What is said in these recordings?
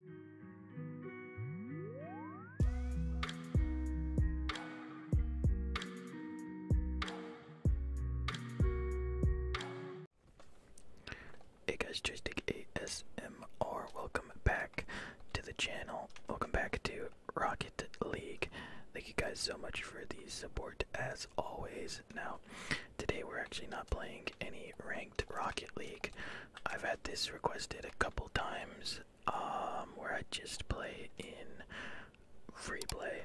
Hey guys, Joystick ASMR, welcome back to the channel. Welcome back to Rocket League. Thank you guys so much for the support as always. Now, today we're actually not playing any ranked Rocket League. I've had this requested a couple times um, where I just play in free play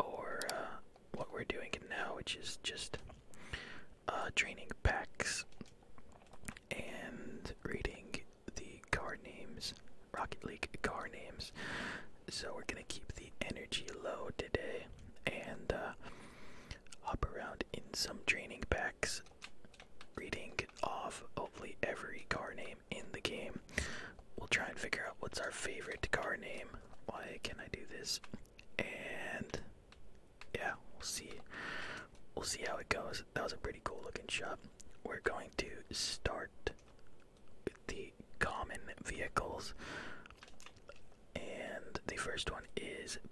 or uh, what we're doing now, which is just uh, training packs and reading the card names, Rocket League card names. So we're gonna keep the energy low today and uh, hop around in some training packs reading off hopefully every car name in the game. We'll try and figure out what's our favorite car name. Why can I do this? And yeah, we'll see. We'll see how it goes. That was a pretty cool looking shop. We're going to start the common vehicles. And the first one is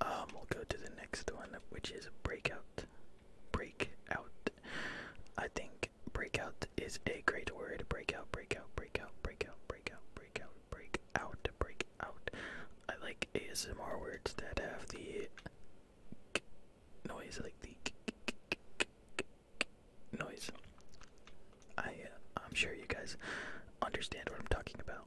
um, we'll go to the next one, which is breakout. Breakout. I think breakout is a great word. Breakout, breakout, breakout, breakout, breakout, breakout, breakout, breakout. I like ASMR words that have the noise, like the noise. I, uh, I'm sure you guys understand what I'm talking about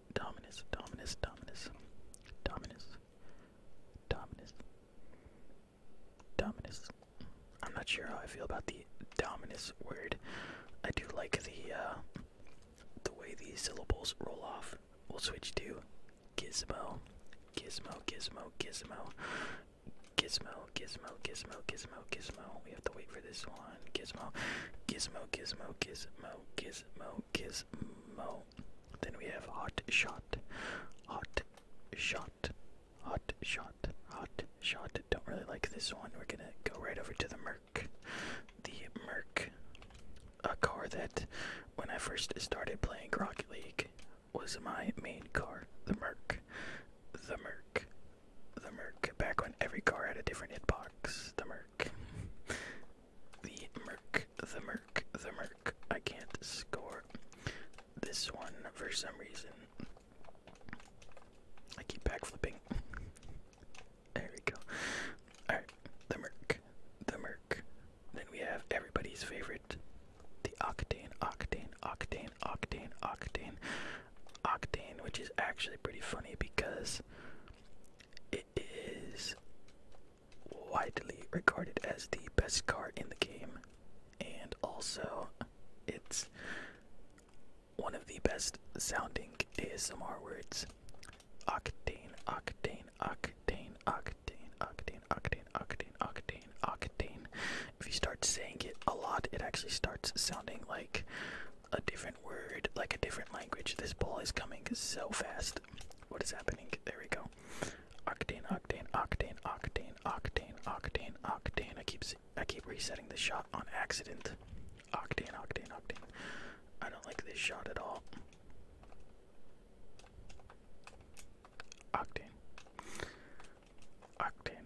Dominus, Dominus, Dominus, Dominus, Dominus, Dominus. I'm not sure how I feel about the Dominus word. I do like the uh, the way the syllables roll off. We'll switch to Gizmo, Gizmo, Gizmo, Gizmo, Gizmo, Gizmo, Gizmo, Gizmo, Gizmo. We have to wait for this one. Gizmo, Gizmo, Gizmo, Gizmo, Gizmo, Gizmo. Then we have Hot Shot. Hot Shot. Hot Shot. Hot Shot. Don't really like this one. We're gonna go right over to the Merc. The Merc. A car that, when I first started playing Rocket League, was my main car. The Merc. The Merc. The Merc. Back when every car had a different hitbox. The Merc. Merc. The Merc, the Merc, the Merc. I can't score this one for some reason. I keep backflipping. There we go. Alright, the Merc, the Merc. Then we have everybody's favorite, the Octane, Octane, Octane, Octane, Octane, Octane, which is actually pretty funny because it is widely regarded as the best car in the game, and also it's one of the best sounding ASMR words. Octane, octane, octane, octane, octane, octane, octane, octane, octane. If you start saying it a lot, it actually starts sounding like a different different word, like a different language. This ball is coming so fast. What is happening? There we go. Octane, octane, octane, octane, octane, octane, octane. I keep I keep resetting the shot on accident. Octane, octane, octane. I don't like this shot at all. Octane. Octane.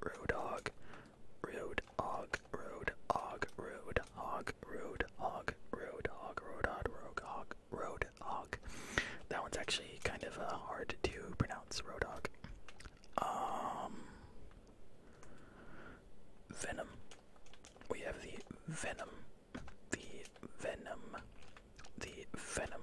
road hog, road hog, road hog, road hog, road hog, road hog, road hog, road hog, road hog. That one's actually kind of uh, hard to pronounce, road hog. Um, venom. We have the venom, the venom, the venom,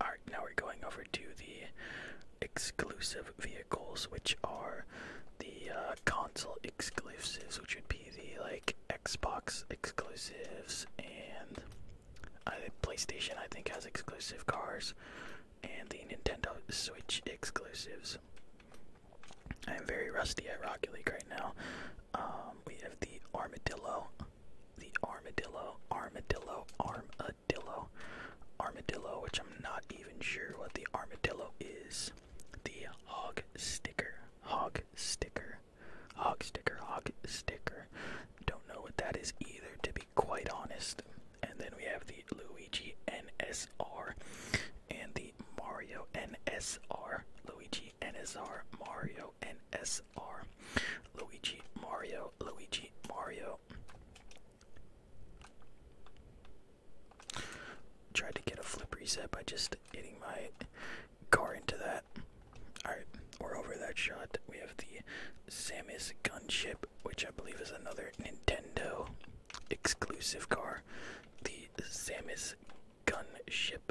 Alright, now we're going over to the exclusive vehicles, which are the uh, console exclusives, which would be the like Xbox exclusives and uh, PlayStation, I think, has exclusive cars, and the Nintendo Switch exclusives. I am very rusty at Rocket League right now. Um, we have the Armadillo, the Armadillo, Armadillo, Armadillo, armadillo. Armadillo, which I'm not even sure what the armadillo is. The hog sticker. Hog sticker. Hog sticker. Hog sticker. Don't know what that is either, to be quite honest. And then we have the Luigi NSR and the Mario NSR. Luigi NSR. Mario NSR. Luigi, Mario, Luigi, Mario. Tried to get a flip reset by just hitting my car into that. Alright, we're over that shot. We have the Samus Gunship, which I believe is another Nintendo exclusive car. The Samus Gunship.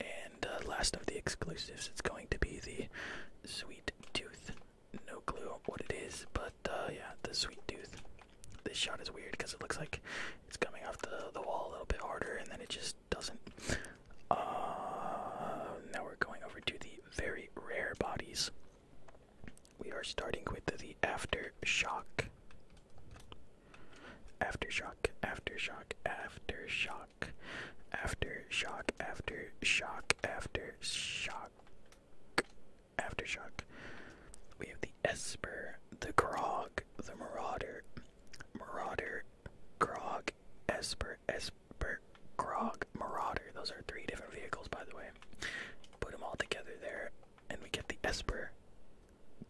And uh, last of the exclusives, it's going to be the Sweet tooth. No clue what it is, but uh, yeah, the sweet tooth. This shot is weird because it looks like it's coming off the, the wall a little bit harder, and then it just doesn't. Uh, now we're going over to the very rare bodies. We are starting with the aftershock. Aftershock, aftershock, aftershock after shock after shock after shock after shock. We have the Esper, the Grog, the Marauder, Marauder, Grog, Esper, Esper, Grog, Marauder. Those are three different vehicles, by the way. Put them all together there, and we get the Esper,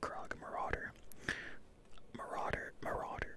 Grog, Marauder, Marauder, Marauder.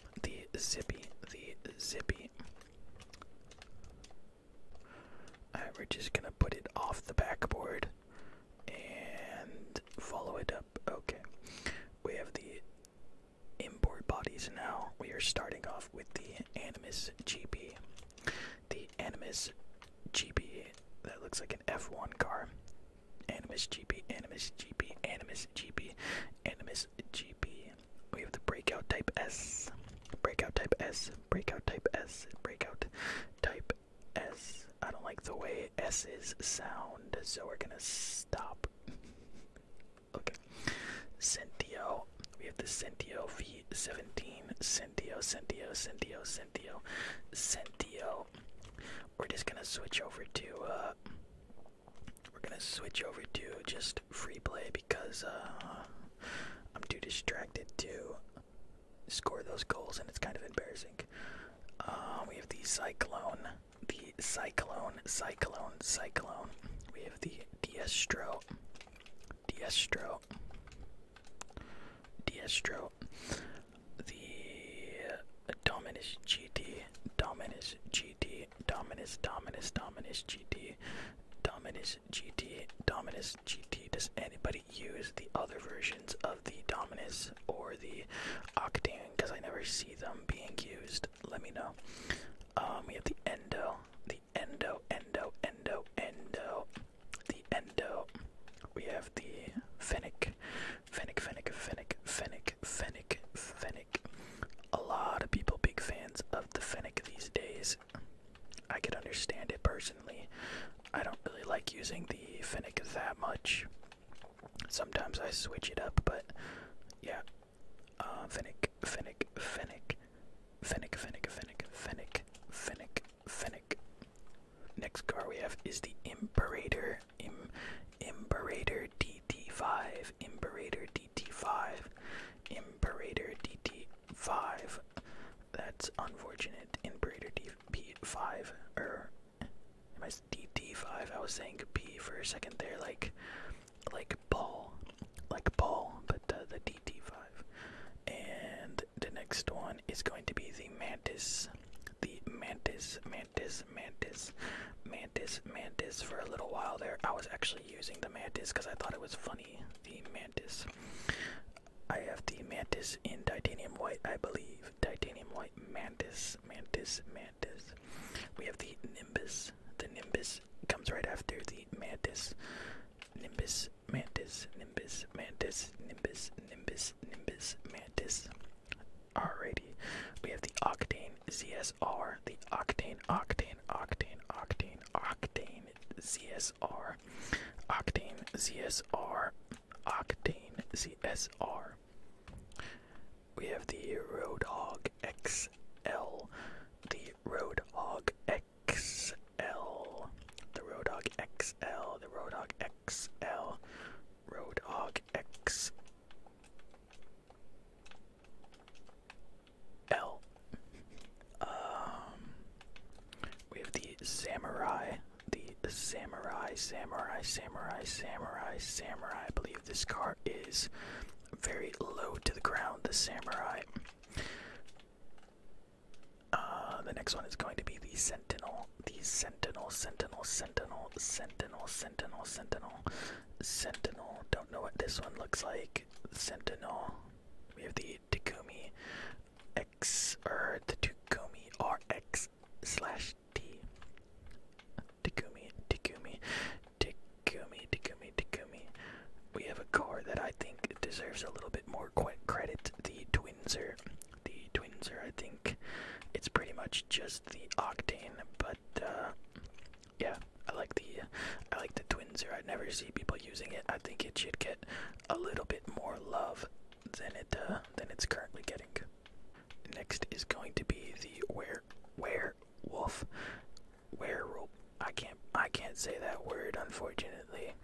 the zippy, the zippy. we're just gonna put it off the backboard and follow it up. Okay, we have the inboard bodies now. We are starting off with the Animus GP. The Animus GP, that looks like an F1 car. Animus GP, Animus GP, Animus GP, Animus GP. We have the breakout type S, breakout type S, breakout type S, breakout type S. I don't like the way S's sound, so we're gonna stop. okay. Sentio. We have the Sentio V17, Sentio, Sentio, Sentio, Sentio, Sentio. We're just gonna switch over to uh, we're gonna switch over to just free play because uh, I'm too distracted to score those goals, and it's kind of embarrassing. Uh, we have the Cyclone, the Cyclone, Cyclone, Cyclone. We have the Diestro, Diestro, Diestro, the Dominus GT, Dominus G. GT, Dominus, Dominus, Dominus GT, Dominus GT, Dominus GT. Does anybody use the other versions of the Dominus or the Octane? Because I never see them being used. Let me know. Um, we have the Endo, the Endo, Endo, Endo, Endo, the Endo. We have the Fennec, Fennec, Fennec, Fennec, Fennec, Fennec, Fennec. Finnick. A lot of people big fans of the Finnick these days. I could understand it personally. I don't really like using the Finnick that much. Sometimes I switch it up, but yeah. Uh, Finnick, Finnick, Finnick, Finnick, Finnick, Finnick, Finnick, Finnick, Finnick. Next car we have is the Imperator. Im Imperator DT5, Imperator DT5, Imperator DT5. That's unfortunate. Imperator DP5, Er, am DT5? I was saying P for a second there, like like ball, like ball, but uh, the DT5. And the next one is going to be the Mantis the mantis, mantis, mantis, mantis, mantis for a little while there. I was actually using the mantis because I thought it was funny. The mantis. I have the mantis in titanium white, I believe. Titanium white, mantis, mantis, mantis. We have the nimbus. The nimbus comes right after the mantis. Nimbus, mantis, nimbus, mantis, nimbus, nimbus, nimbus, mantis. Alrighty, we have the Octane ZSR, the Octane, Octane, Octane, Octane, Octane ZSR, Octane ZSR, Octane ZSR. We have the Roadhog XL, the Roadhog XL, the Roadhog XL, the Roadhog XL, Roadhog XL. L. Um, we have the samurai, the samurai, samurai, samurai, samurai, samurai. I believe this car is very low to the ground. The samurai. Uh, the next one is going to be the sentinel. The sentinel. Sentinel, Sentinel, Sentinel, Sentinel, Sentinel, Sentinel, Sentinel. Don't know what this one looks like. Sentinel. We have the Takumi X or the Takumi RX slash T. Takumi, Takumi, Takumi, Takumi, Takumi. We have a car that I think deserves a little bit more credit. The Twinzer, the Twinzer. I think it's pretty much just the octane, but uh, yeah, I like the I like the twinzer. I never see people using it. I think it should get a little bit more love than it uh, than it's currently getting. Next is going to be the were werewolf werewolf. I can't I can't say that word unfortunately.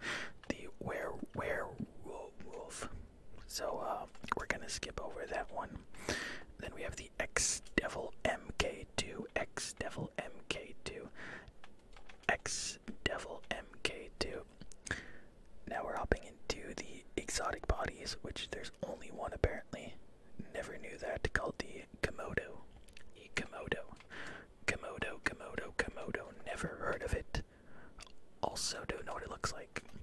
The were wolf so uh, we're gonna skip over that one. Then we have the X Devil MK2, X Devil MK2, X Devil MK2. Now we're hopping into the exotic bodies, which there's only one apparently. Never knew that. Called the Komodo, the Komodo, Komodo, Komodo, Komodo. Never heard of it. Also don't know what it looks like.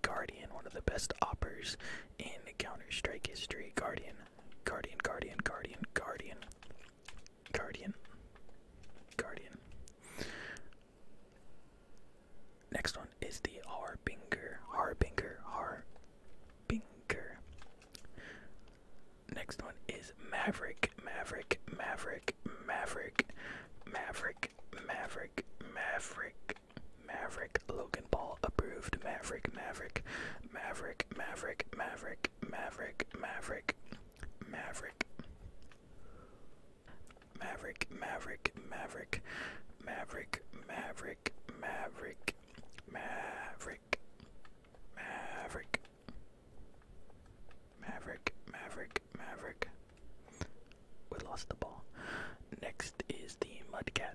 Guardian, one of the best oppers in Counter Strike history. Guardian, Guardian, Guardian, Guardian, Guardian, Guardian, Next one is the Harbinger, Harbinger, Harbinger. Next one is Maverick, Maverick, Maverick, Maverick, Maverick, Maverick, Maverick, Maverick, Logan Paul approved. Maverick, Maverick, Maverick, Maverick, Maverick, Maverick, Maverick, Maverick, Maverick, Maverick, Maverick, Maverick, Maverick, Maverick, Maverick, Maverick, Maverick, Maverick, Maverick. We lost the ball. Next is the Mudcat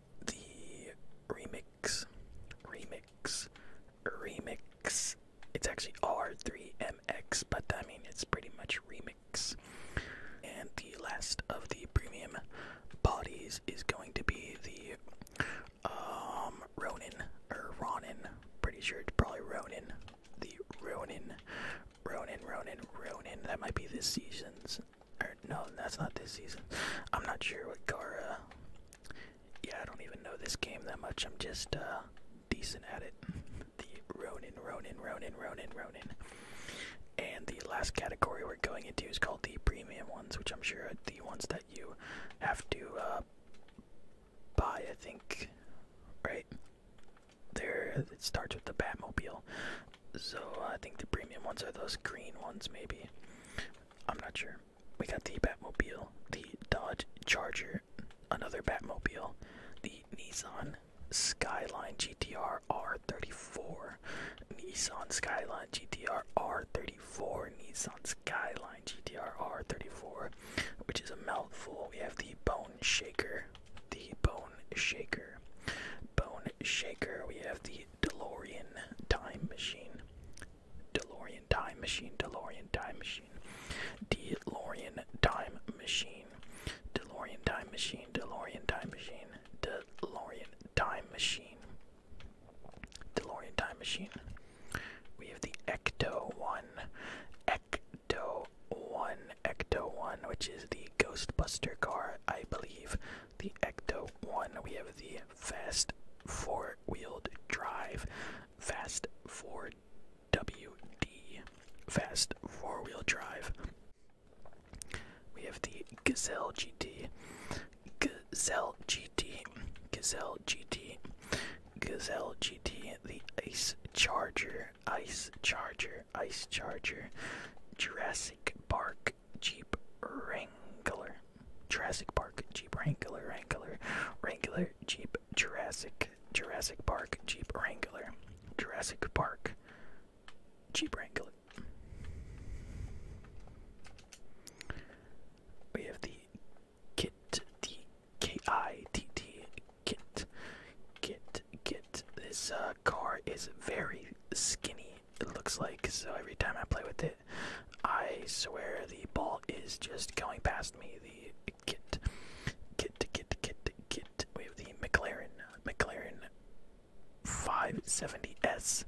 the remix, remix, remix. It's actually R3MX, but I mean, it's pretty much remix. And the last of the premium bodies is going to be the um, Ronin, or Ronin. Pretty sure it's probably Ronin. The Ronin, Ronin, Ronin, Ronin. That might be the season's no, that's not this season. I'm not sure what Gara. Yeah, I don't even know this game that much. I'm just uh, decent at it. The Ronin, Ronin, Ronin, Ronin, Ronin. And the last category we're going into is called the premium ones, which I'm sure are the ones that you have to uh, buy, I think. Right? There, it starts with the Batmobile. So I think the premium ones are those green ones, maybe. I'm not sure. We got the Batmobile, the Dodge Charger, another Batmobile, the Nissan Skyline GTR R34, Nissan Skyline GTR R34, Nissan Skyline GTR R34, which is a mouthful. We have the Bone Shaker, the Bone Shaker, Bone Shaker. We have the DeLorean Time Machine. DeLorean Time Machine. DeLorean Time Machine. DeLorean Time Machine. DeLorean Time Machine. DeLorean Time Machine. DeLorean Time Machine. Time Machine. We have the Ecto One. Ecto One. Ecto One, which is the Ghostbuster car, I believe the Ecto 1. We have the fast four wheel drive, fast 4WD, fast four wheel drive. We have the Gazelle GT, Gazelle GT, Gazelle GT, Gazelle GT, the Ice Charger, Ice Charger, Ice Charger, Jurassic Park, Jeep Wrangler, Jurassic Park Jeep Wrangler, Wrangler, Wrangler Jeep Jurassic, Jurassic Park Jeep Wrangler, Jurassic Park Jeep Wrangler. We have the kit, the kit, kit, kit. This uh, car is very skinny it looks like. So every time I play with it, I swear the ball is just going past me. The kit, kit, kit, kit, kit. We have the McLaren, McLaren 570S,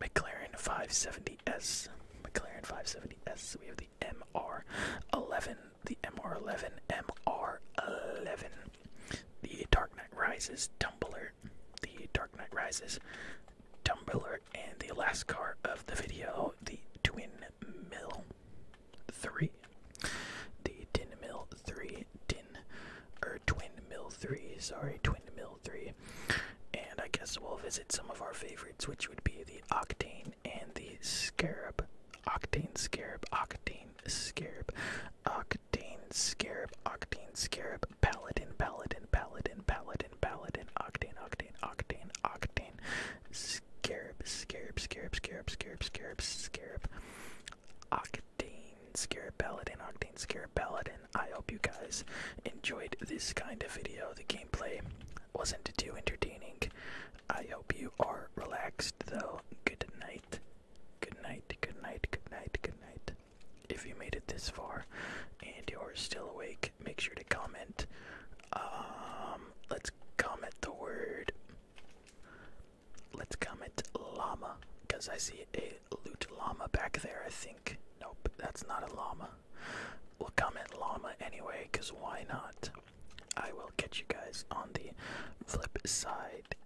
McLaren 570S, McLaren 570S. We have the MR11, the MR11, MR11. The Dark Knight Rises tumbler the Dark Knight Rises, Dumb and the last car of the video, the Twin Mill 3. The Tin Mill 3, Tin, or Twin Mill 3, sorry, Twin Mill 3. And I guess we'll visit some of our favorites, which would be the Octane and the Scarab. Octane Scarab, Octane Scarab. Octane Scarab, Octane Scarab, Paladin, Paladin, Paladin, Paladin, Paladin, Octane, Octane, Octane, Octane, Scarab, Scarab, Scarab, Scarab, Scarab, Scarab, Scarab, Octane, Scarab, Paladin, Octane, Scarab, Paladin. I hope you guys enjoyed this kind of video. The gameplay wasn't too entertaining. I hope you are relaxed though. Good night. Good night. Good night. Good night. Good night if you made it this far and you're still awake, make sure to comment. Um, let's comment the word. Let's comment llama, because I see a loot llama back there, I think. Nope, that's not a llama. We'll comment llama anyway, because why not? I will get you guys on the flip side.